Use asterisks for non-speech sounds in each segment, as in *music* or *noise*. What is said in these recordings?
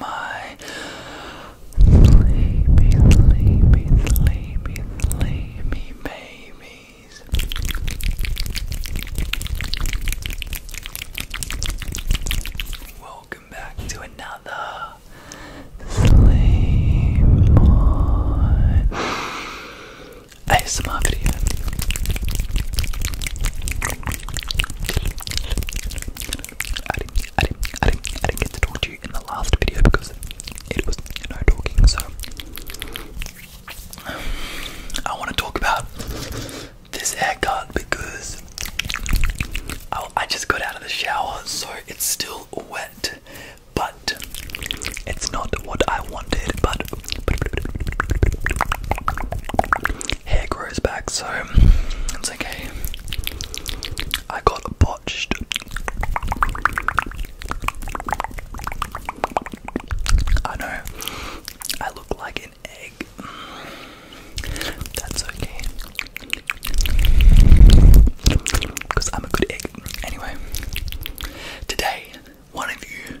my sleepy, sleepy, sleepy, sleepy babies. Welcome back to another Sleep On ASMR video. I didn't, I didn't, I didn't, I didn't get to talk to you in the last video because it was no talking. So I want to talk about this haircut because I, oh, I just got out of the shower, so it's still wet, but it's not what I wanted. But hair grows back, so it's okay. I got botched. I know. I look like an egg. That's okay. I'm a good egg. Anyway, today, one of you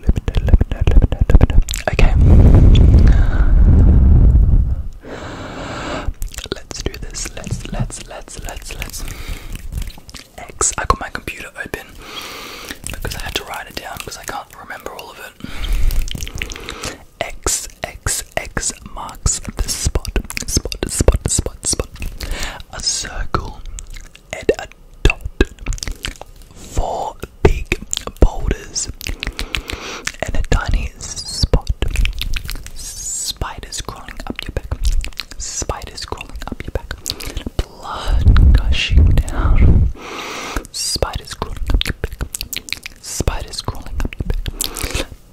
let Okay. Let's do this. Let's, let's, let's, let's, let's. X. I got my computer open because I had to write it down because I can't remember all of it. X, X, X marks the spot, spot, spot, spot, spot. A circle and a dot. Four big boulders and a tiny spot. Spiders crawling up your back. Spiders crawling up your back. Blood gushing down. Spiders crawling up your back. Spiders crawling up your back.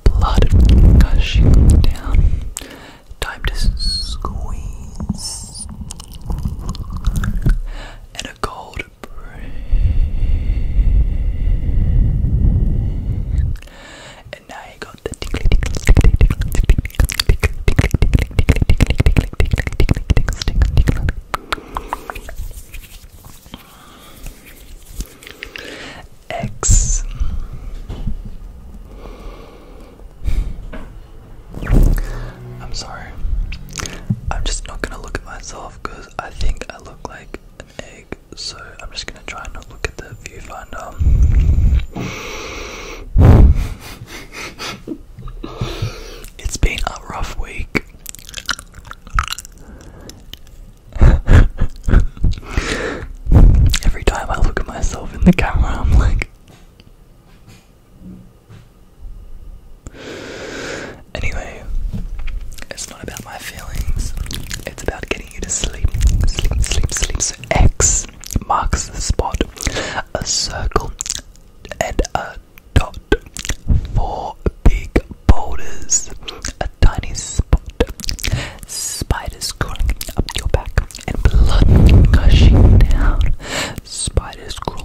Blood gushing down. Time to squeeze and a cold breeze. And now got the tickly tickly tickly tickly tickly tickly tickly tickly X I'm sorry. I'm just not gonna look at myself because I think I look like an egg, so I'm just gonna try and not look at the viewfinder. *laughs* it's been a rough week. *laughs* Every time I look at myself in the camera, I'm like, Anyway, it's not about my feelings, it's about getting you to sleep. Sleep, sleep, sleep. So X marks the spot, a circle, and a dot. Four big boulders, a tiny spot. Spiders crawling up your back and blood gushing down. Spiders crawling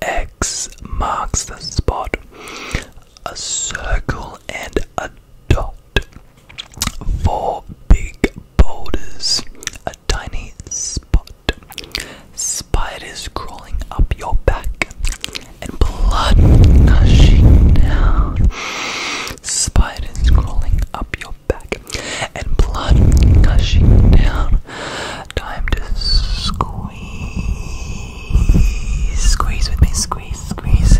X marks the spot. A circle and a dot. Four big boulders. A tiny spot. Spiders crawling up your back. And blood gushing down. Spiders crawling up your back. And blood gushing down. Time to squeeze. Squeeze with me. Squeeze, squeeze.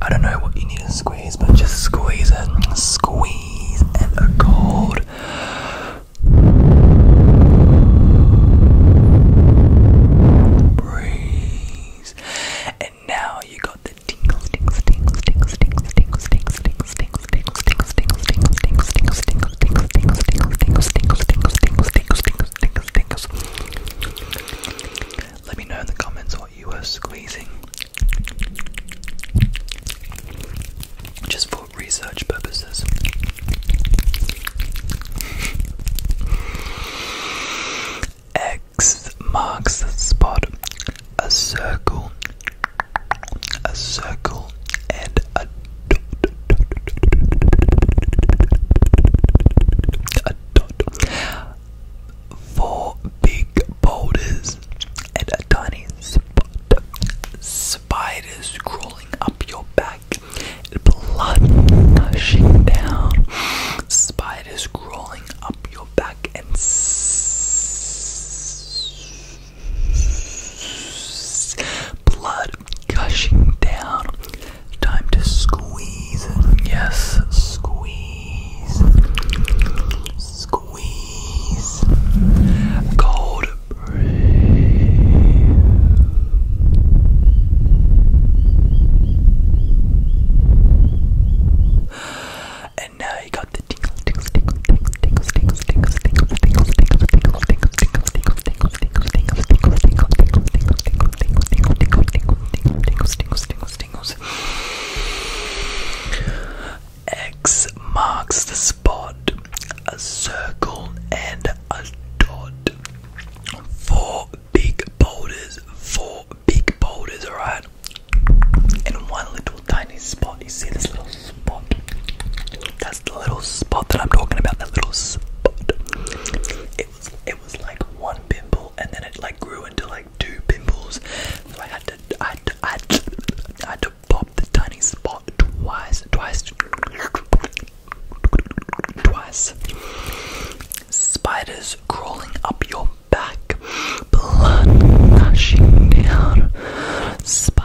I don't know what you need to squeeze, but just squeeze it. Squeeze and a cold. Breeze. And now you got the tingles, tingles, tingles, tingles, tingles, tingles, tingles, tingles, tingles, let me know in the comments what you were squeezing. Just for research purposes. X marks the spot. A circle a circle, and a dot. Four big boulders and a tiny spot. Spiders crawling up your back, blood gushing down. Spiders crawling up your back and. Blood gushing down. Time to squeeze. Yes, squeeze. Squeeze. Cold breathe. And now you got the tingle, tingle, tingle, tingle, tingle, tingles, X marks the spot, a circle and a dot. Four big boulders, four big boulders, alright? And one little tiny spot. You see this little spot? that's the little spot that I'm talking about. That little spot. It was it was like one pimple, and then it like grew into like two pimples. So I had to I had to, I had to, pop the tiny spot twice, twice, twice. Spiders crawling up your back, blood gushing down. Sp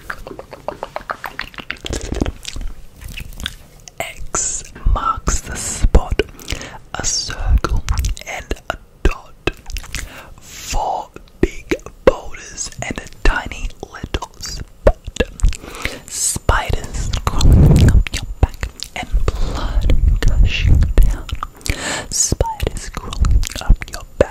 X marks the spot, a circle and a dot. Four big boulders and a tiny little spot. Spiders crawling up your back and blood gushing down. Spiders crawling up your back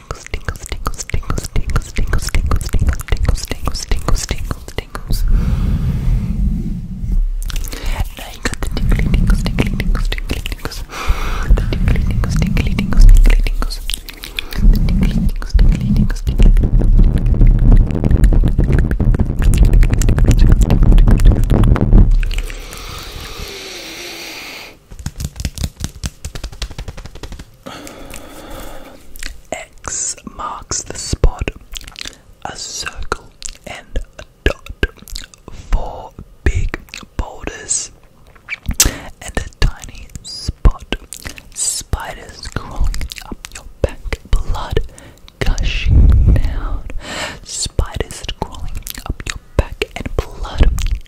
tingles, tingles, tingles, tingles, tingles, tingles, tingles, tingles, tingles, tingles, tingles, tingles, tingles. Now you got the tingly tingles, tingly tingles, tingly tingles. The tingly tingles, tingly tingles, tingly tingles. The tingly tingles, tingly tingles, tingly tingles. X marks the spot, a circle and a dot, four big boulders and a tiny spot, spiders crawling up your back, blood gushing down, spiders crawling up your back and blood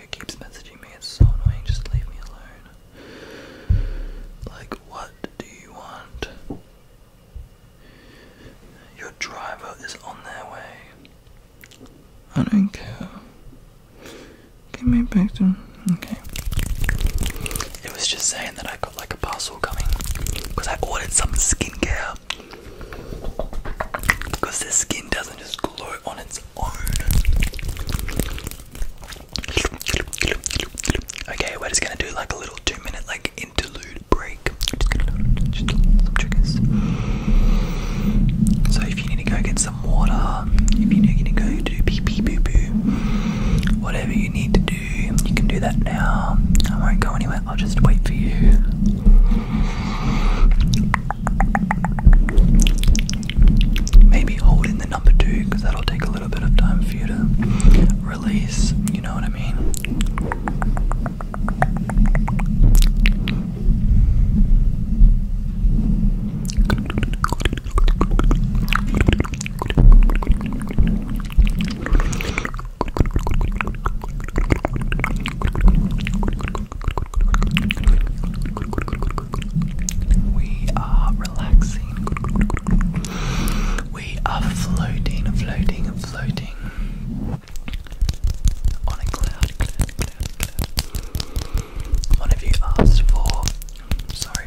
who keeps messaging me. It's so annoying. Just leave me alone. Like, what do you want? Your driver is on their way. I don't care. Give me back to. Okay. It was just saying that I got like a parcel coming because I ordered some skincare. Because this skin doesn't just glow on its own. Okay, we're just gonna do like a little two minute like interlude break. Just gonna just some triggers. So if you need to go get some water, if you need to go do pee pee boo boo, whatever you need to do, you can do that now. I won't go anywhere, I'll just wait for you. Maybe hold in the number two because that'll take a little bit of time for you to release, you know what I mean? We are relaxing. We are floating, floating, floating on a cloud, One of you asked for, sorry,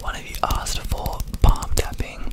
one of you asked for palm tapping.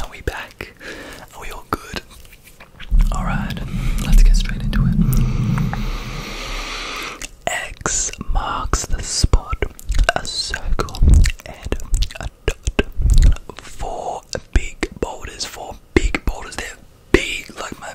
are we back? Are we all good? Alright, let's get straight into it. X marks the spot, a circle, and a dot. Four big boulders, four big boulders. They're big, like my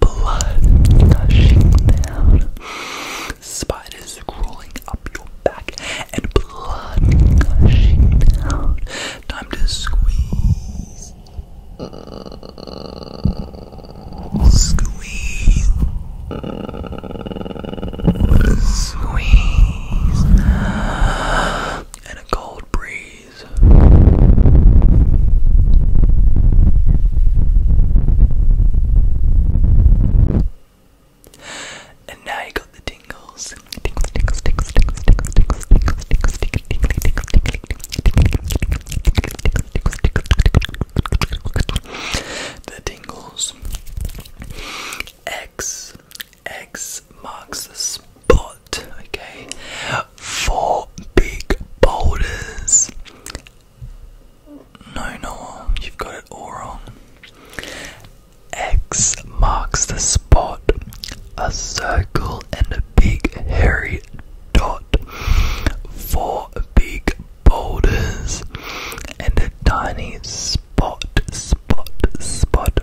blood gushing down, spiders crawling up your back, and blood gushing down. Time to squeeze, squeeze, squeeze, and a cold breeze. And now you got the tingles. tingles, the tingles. X X marks the spot okay? Four big boulders. No, no, you've got it all wrong. X marks the spot, a circle and a big hairy dot. Four big boulders and a tiny spot, spot, spot.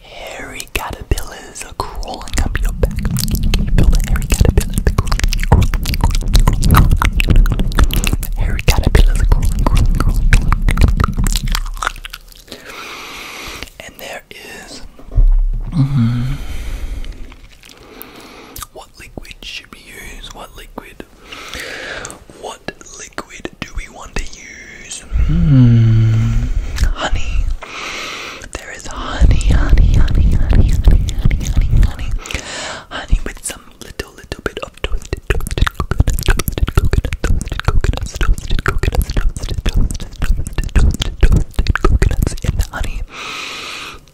Hairy caterpillars are crawling up your back. Can you feel the hairy caterpillars? crawling, And there is. What liquid should we use? What liquid? What liquid do we want to use? Hmm. honey. There is honey, honey, honey, honey, honey, honey, honey, honey. Honey with some little, little bit of toasted, toasted coconuts, toasted coconuts, toasted coconuts, toasted coconuts, toasted, toasted, toasted, toasted, toasted coconuts the honey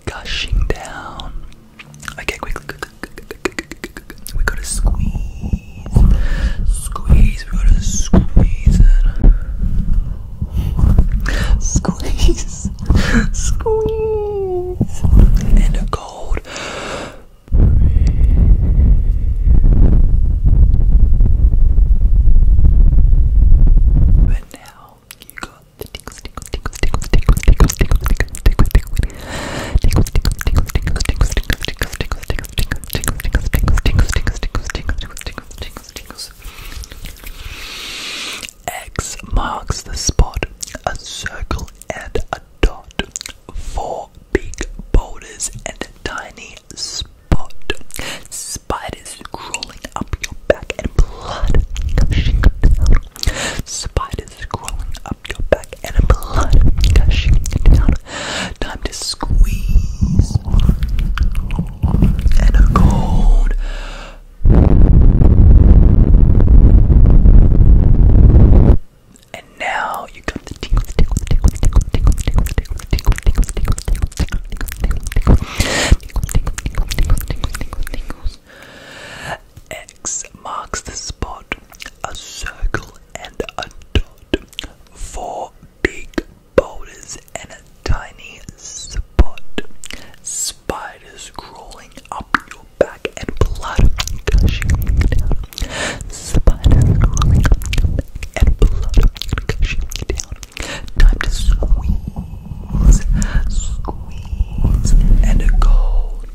gushing down. Okay, quickly, we gotta squeeze. Squeeze. We gotta squeeze it. Squeeze. Squeeze. And a cold. But now you got the tickles, tickles, tickles, tickles, tickles, tickles, tickles, tickles, tickles, tickles, tickles, tickles, tickles, tickles, tickles, tickles, tickles, tickles, tingles, tingles, tingles, tingles, tingles, tingles, tingles, tingles, tingles, tingles, tingles. X marks the spot, a circle and a dot, four big boulders and a tiny spot. Spiders crawling up your back and blood gushing down. Spiders crawling up your back and blood gushing down. Time to squeeze and a cold. And now you got the tingle, the tingle, the tingle, the tingle, the tingle, the tingle, the tingle, the tingles. X marks the spot. A circle and a dot, four big boulders and a tiny spot, spiders crawling up your back and blood gushing down, spiders crawling up your back and blood gushing down. Time to squeeze, squeeze, and go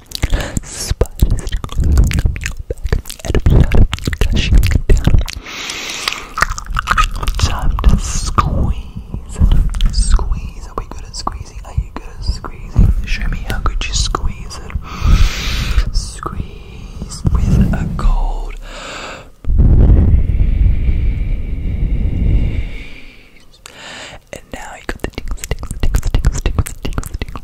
Spiders squeeze. Squeeze. Are we good at squeezing? Are you good at squeezing? Show me how good you squeeze it. Squeeze with a cold. And now you got the tingles, tingles, tingles, tingles, tingles, tingles, tingles,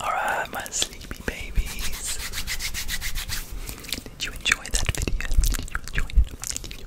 Alright, my sleepy babies. Did you enjoy that video? Did you enjoy it?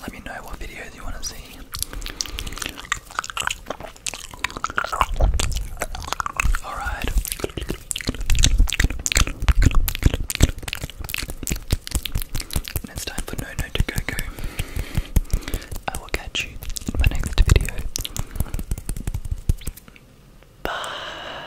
Let me know what videos you want to see. Alright. it's time for No No to Go Go. I will catch you in my next video. Bye.